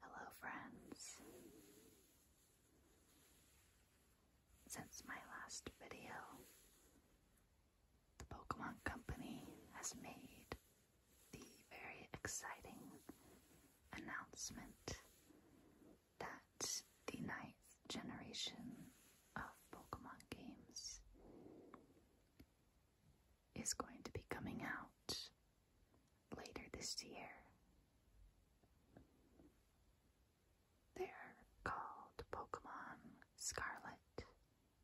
Hello, friends. Since my last video, the Pokemon Company has made the very exciting announcement that the ninth generation of Pokemon games is going to be coming out later this year. They're called Pokemon Scarlet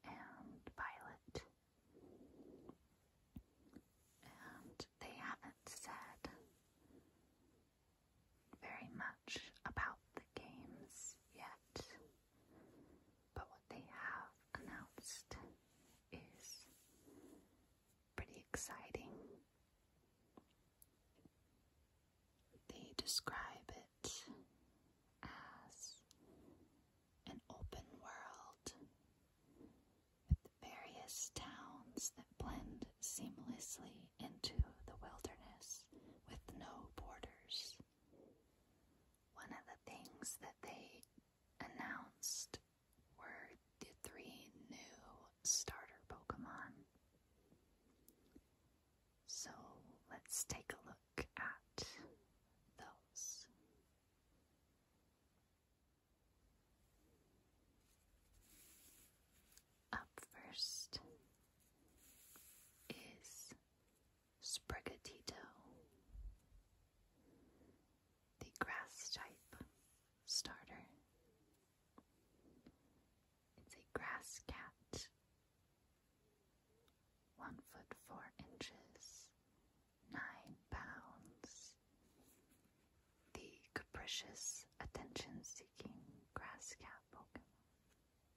and Violet. And they haven't said very much about the games yet, but what they have announced is pretty exciting. They describe it as an open world with various towns that blend seamlessly into the wilderness with no borders. One of the things that they announced were the three new starter Pokemon. So let's take a look at those up first is Sprigatito, the grass type starter. It's a grass cat, one foot four inches, nine pounds. The capricious, attention seeking grass cat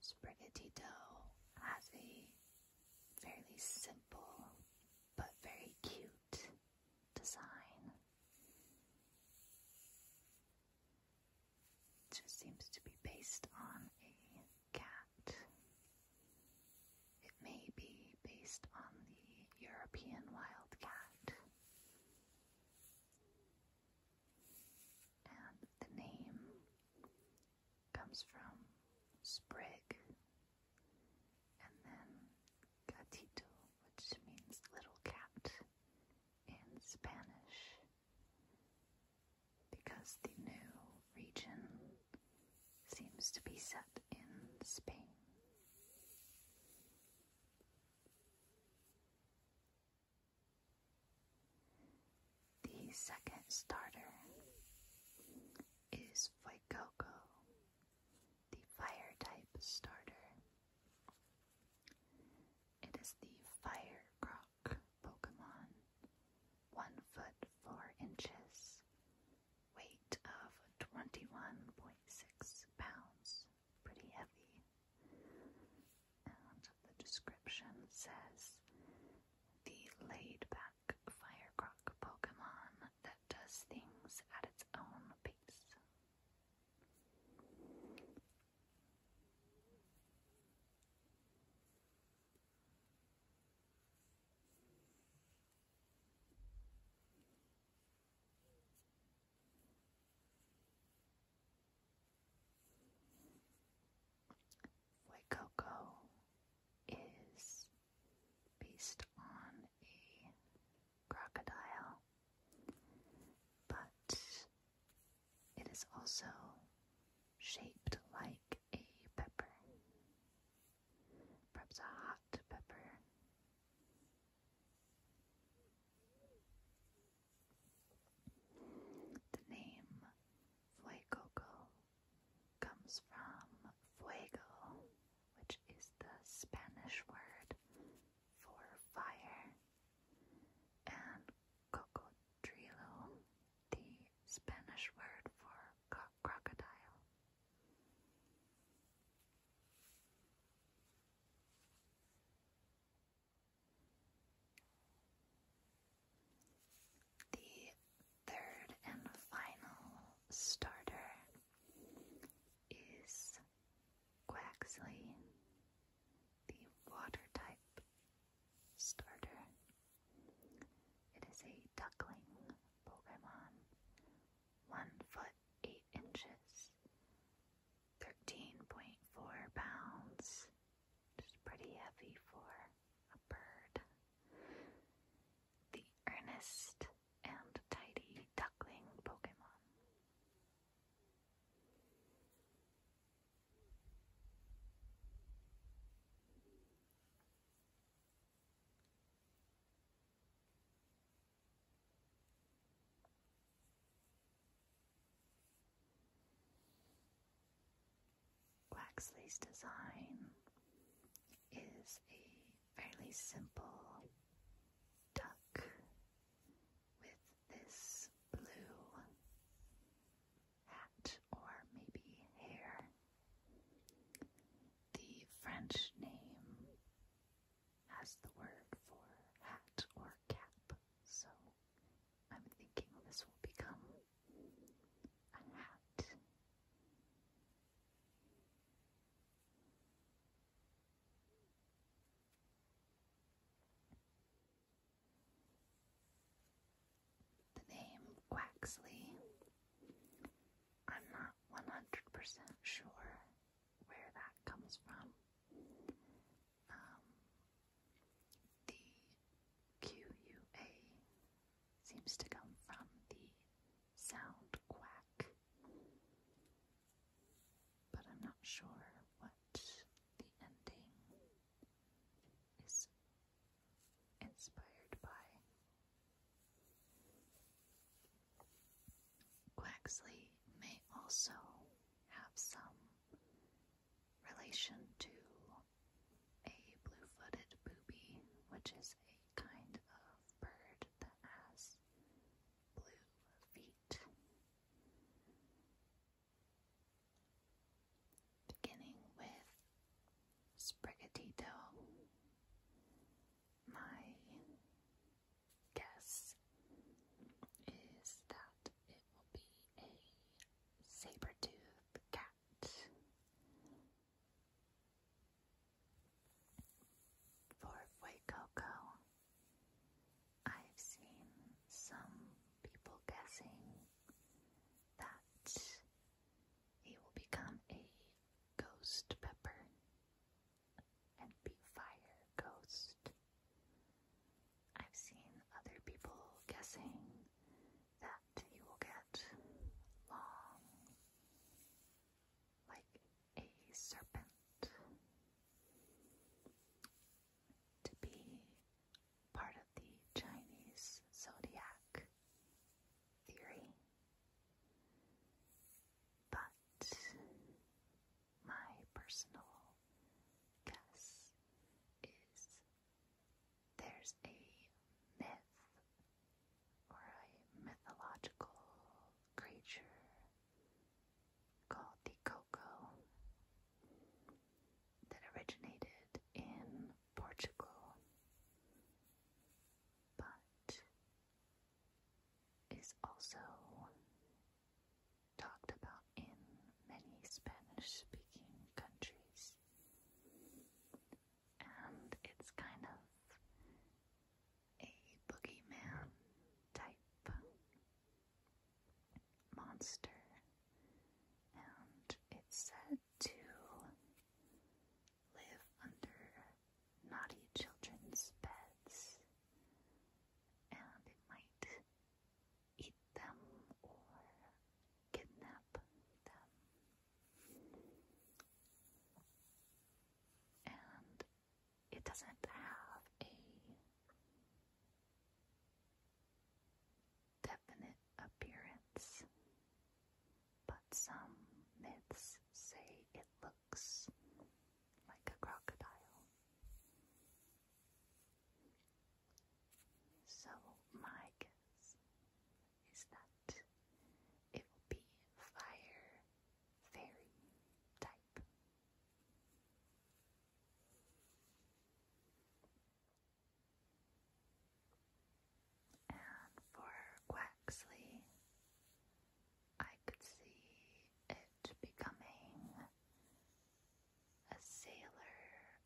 Spaghetti dough has a fairly simple but very cute design. It just seems to be based on a cat. It may be based on the European wildcat. And the name comes from sprig and then gatito, which means little cat in Spanish, because the new region seems to be set in Spain. The second starter is Fuecoco, the fire type starter. It is the fire croc Pokemon, one foot four inches, weight of 21.6 pounds pretty heavy. And the description says the laid back firecrock Pokemon that does things at its own pace. Fuecoco is based on a crocodile, but it is also shaped like a pepper, perhaps a hot pepper the name Fuecoco comes from fuego, which is the Spanish word for fire, and cocodrilo, the Spanish word for crocodile. The third and final starter is Quaxley, the water type starter. It is a duckling Pokemon, one foot eight inches, 13.4 pounds, which is pretty heavy for a bird. The earnest and tidy duckling Pokemon. Waxley's design is a fairly simple duck with this blue hat or maybe hair. The French name has the word for hat or cap, so I'm thinking this will become a hat. The name Waxley, I'm not 100% sure where that comes from. Um, the QUA seems to come from the sound quack, but I'm not sure what the ending is inspired by. Quaxley may also have some relation to a blue footed booby, which is a kind of bird that has blue feet. Beginning with Sprigatito, my guess is that it will be a saber-toothed cat. For Fuecoco, I've seen some people guessing that he will become a ghost pepper and be fire ghost. I've seen other people guessing that you will get long like a serpent. To be part of the Chinese zodiac theory. But my personal guess is there's a myth or a mythological creature called the Coco that originated in Portugal. But is also talked about in many Spanish-speaking countries, and it's kind of a boogeyman type monster, and it's said to live under naughty children's beds, and it might eat them or kidnap them. And it doesn't have a definite appearance, but some myths say it looks looks like a crocodile. So, my guess is that it will be fire fairy type. And for Quaxley, I could see it becoming a sailor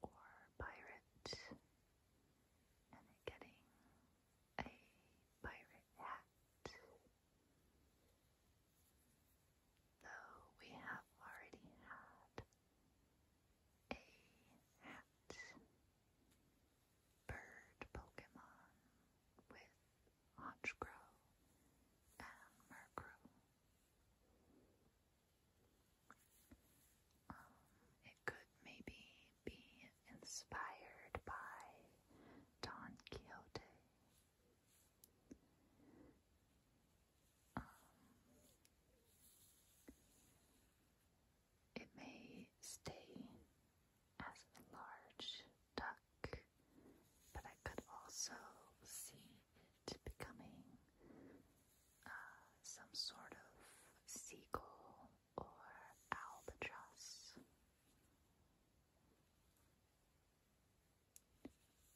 or pirate and getting a pirate hat. Though we have already had a hat bird Pokemon with Honchkrow and Murkrow. Um, it could maybe be inspired by Don Quixote. Um, it may stay as a large duck but I could also see it becoming uh, some sort of seagull or albatross.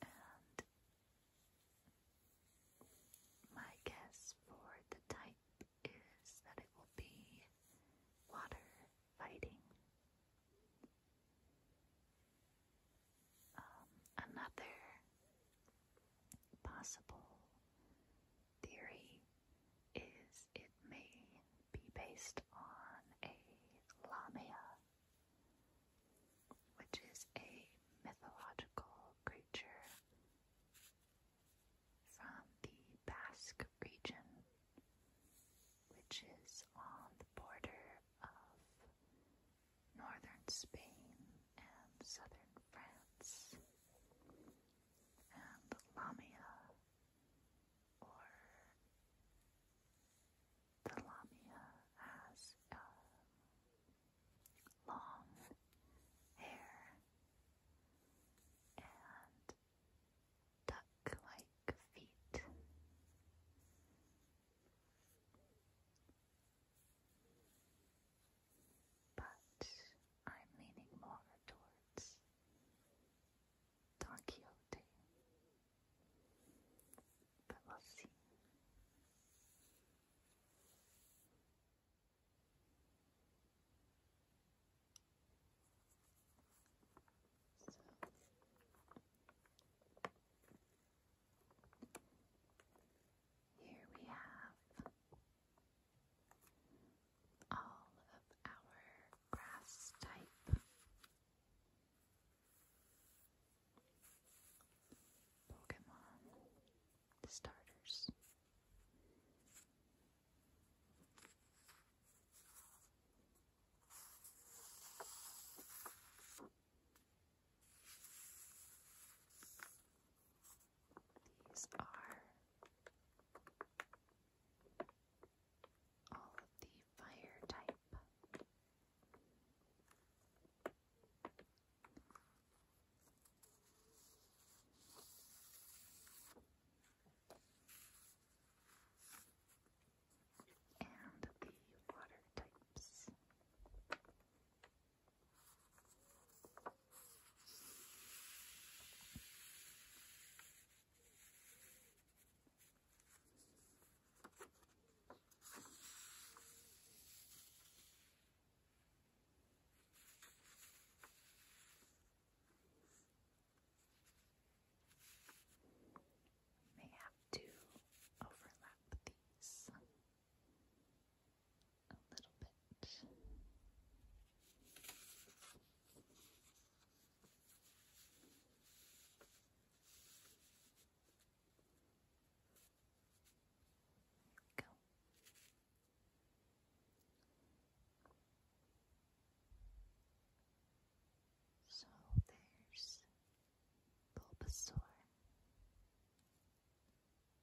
And my guess for the type is that it will be water um, another possible theory is it may be based on a lamia, which is a mythological creature from the Basque region, which is on the border of northern Spain and southern France, and Lamia, or the Lamia has long hair and duck like feet. But I'm leaning more towards Don Quixote. But we'll see. So. Here we have all of our grass type Pokemon starters. These are all of the fire type and the water types. We may have to overlap these a little bit. go. So there's Bulbasaur,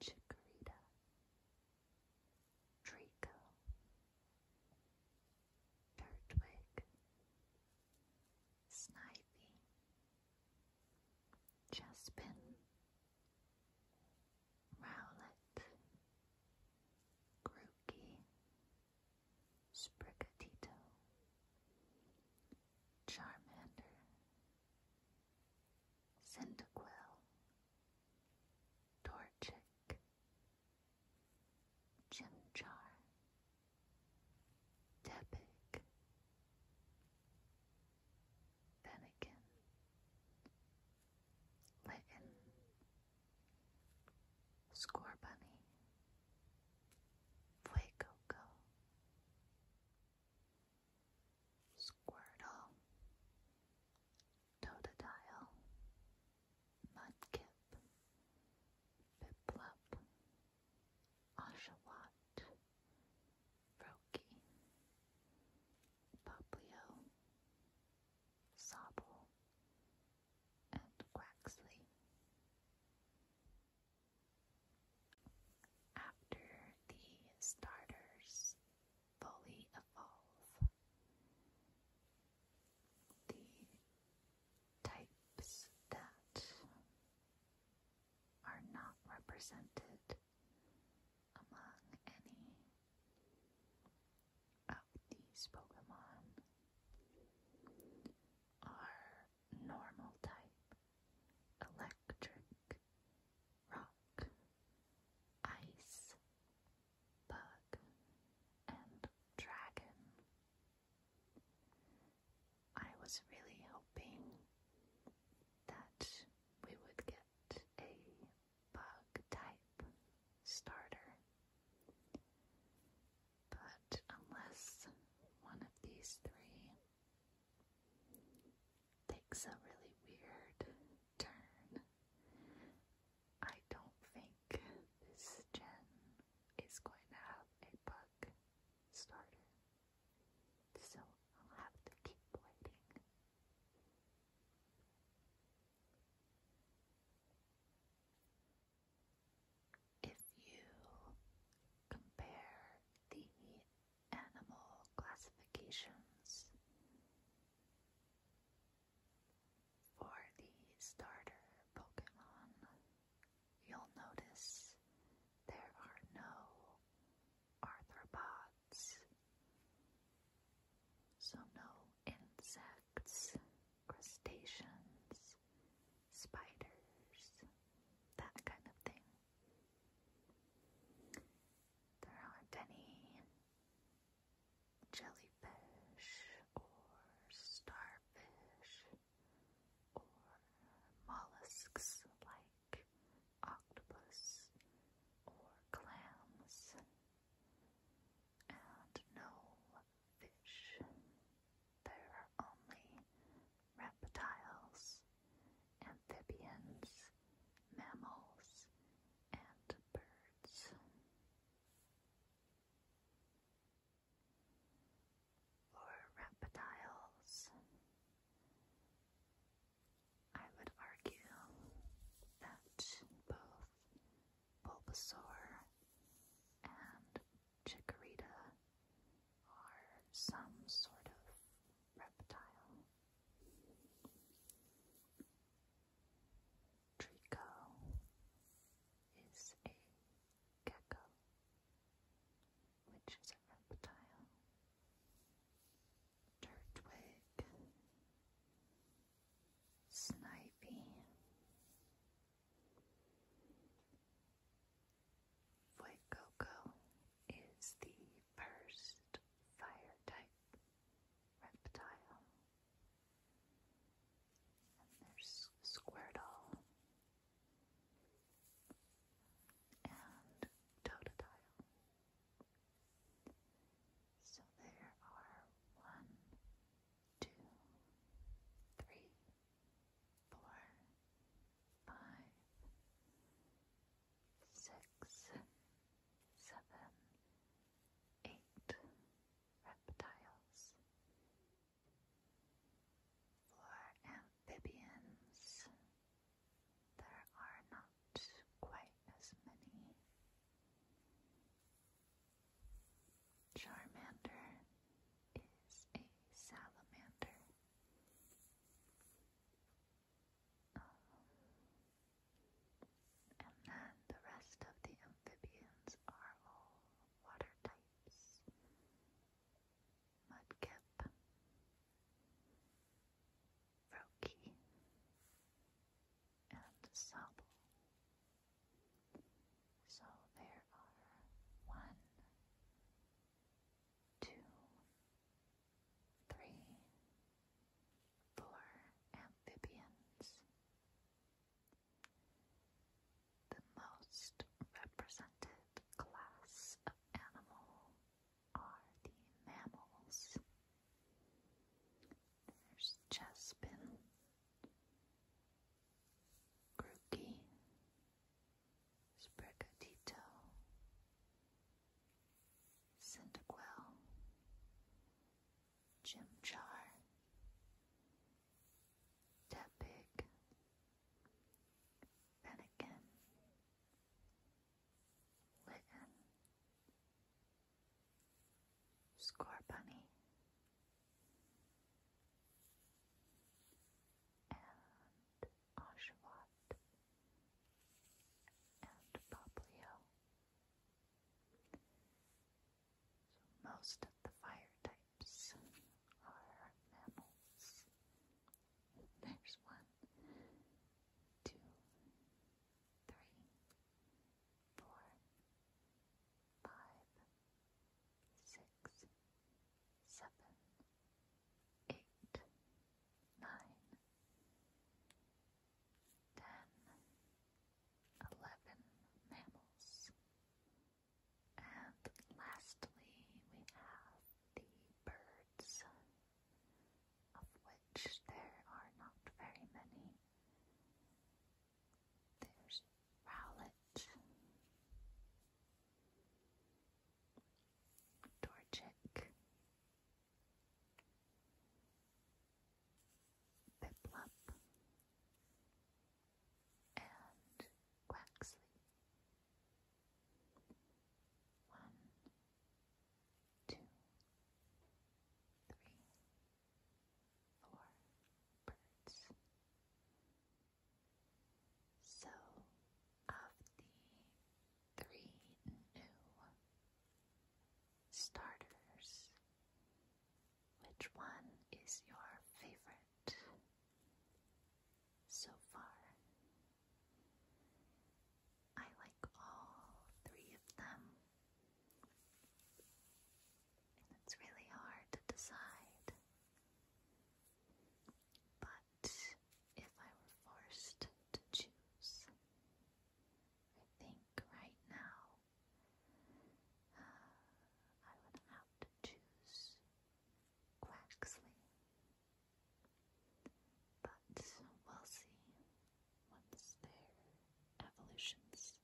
Chikorita, Draco, Turtwig, Snivy, Jaspin, Rowlet, Grookey, Sprigatito, Charmander, Cyndaquil, Torchic, Chimchar, Tepig, Fennekin, Litton, Score Bunny, Fuecoco, Squirtle, Totodile, Mudkip, Piplup, Oshawott, Roki, Poplio, Sobble, and Quaxley. After the starters fully evolve, the types that are not represented among any these Pokemon are normal type, electric, rock, ice, bug, and dragon. I was really hoping that we would get a bug type starter. But unless one of these three takes a really weird turn, I don't think this gen is going to have a bug starter. So I'll have to keep waiting. If you compare the animal classifications for the starter Pokemon, you'll notice there are no arthropods, so no insects, crustaceans, spiders, that kind of thing. There aren't any jellyfish or starfish or mollusks like octopus or clams and no fish. There are only reptiles, amphibians, mammals, and birds. For reptiles, I would argue that both Bulbasaur and Chikorita are some sort of reptile. Trico is a gecko, which is a reptile. Turtwig Sniping Fuecoco is the first fire type reptile. there's Squirtle and Totodile. So there are one, two, three, four, five, six, seven, eight reptiles, for amphibians. There are not quite as many. Charmander is a salamander. Um, and then the rest of the amphibians are all water types. Mudkip, Roki, and Sable. So there are one, two, three, four amphibians. The most represented class of animals are the mammals there's Jaspin, Grookey, Sprigatito, Cyndaquil, Chimchar, Tepig, Fennekin, Litten, Score Bunny and Oshawott and Poplio. So most of the fire types are mammals. There's one, two, three, four, five, six, seven, eight, nine, ten, eleven mammals. And lastly, we have the birds of which there are not very many. There's Rowlett, Dorchick, Piplup, and Quaxley. One, two, three, four birds. So, of the three new starters, which one is your favorite so far? I like all three of them. it's really hard to decide. But if I were forced to choose, I think right now uh, I would have to choose Quaxley. But we'll see once their evolutions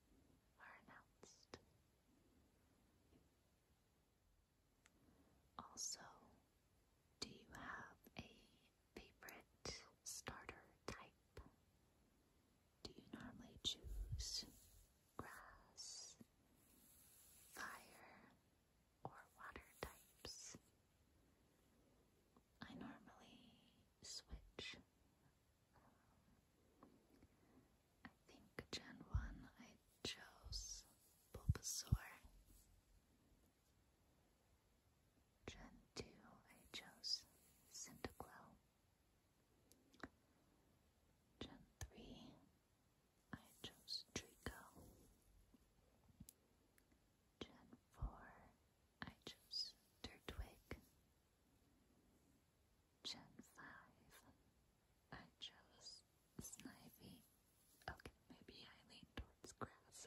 are announced. Also, do you have a favorite starter type? Do you normally choose grass, fire, or water types? I normally switch. I think Gen 1 I chose Bulbasaur. Gen 2 I chose Cyndaquil. Gen 3 I chose Draco. Gen 4 I chose Turtwig. Gen 5, I chose Snivy. Okay, maybe I lean towards grass.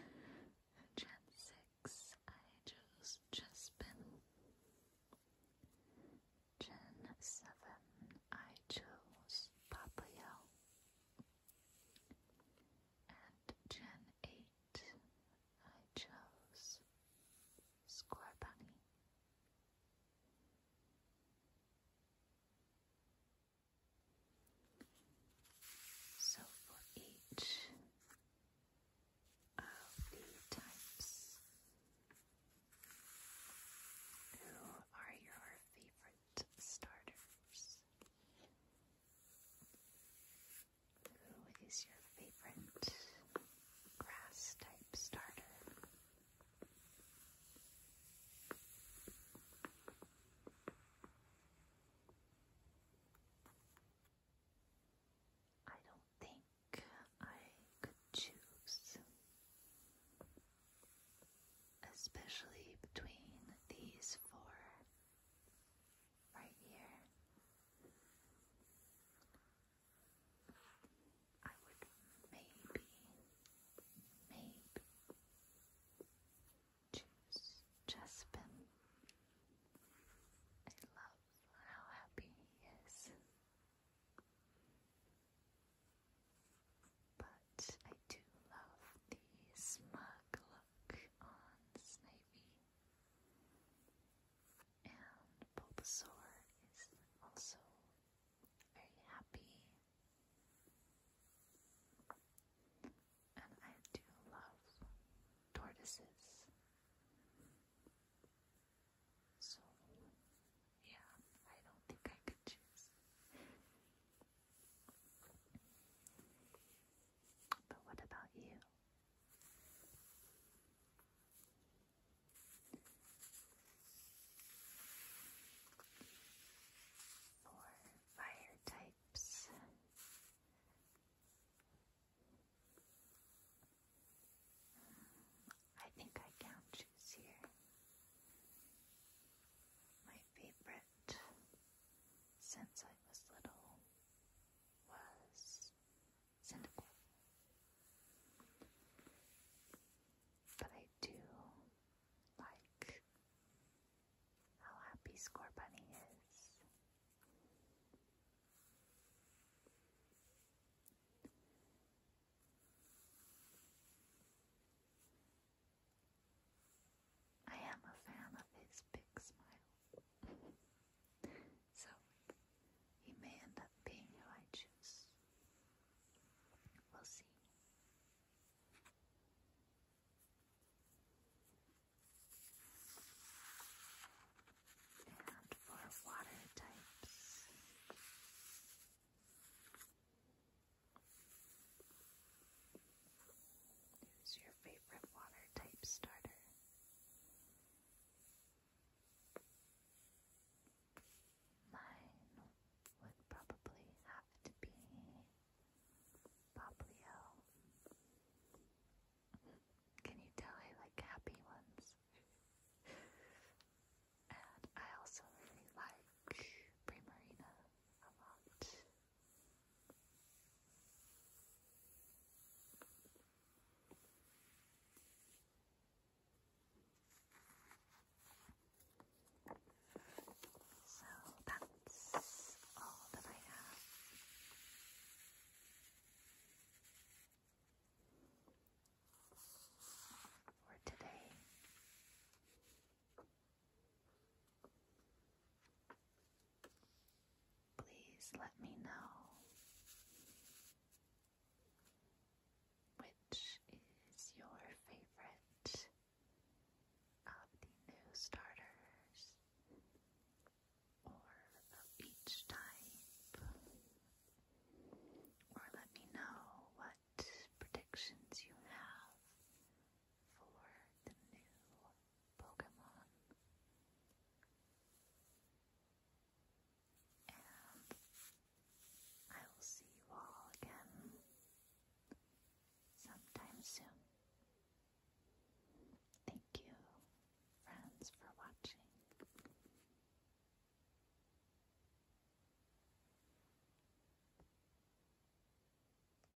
Gen 6, I chose Jespin. Gen 7, I chose Papayel and Gen 8, I chose Square So for each of the types, who are your favorite starters? Who is your favorite grass type starter? I don't think I could choose, especially between these four right here. I would maybe, maybe choose Jaspin. I love how happy he is. But I do love the smug on Snivy. And Bulbasaur is also very happy. And I do love tortoises. So, yeah, I don't think I could choose but what about you? For fire types. I think I can choose here. My favorite since I was little was cynical. But I do like how happy Score Bunny is. I am a fan of his big smile. so, he may end up being who I choose. We'll see. And for water types, Who's your favorite water type starter? Mine would probably have to be Poplio. Can you tell I like happy ones? and I also really like Primarina a lot. So that's all that I have. For today, Please let me know which is your favorite of the new starters or of each type. Or let me know what predictions you have for the new Pokemon. And I will see you all again sometime soon. Thank you, friends, for watching.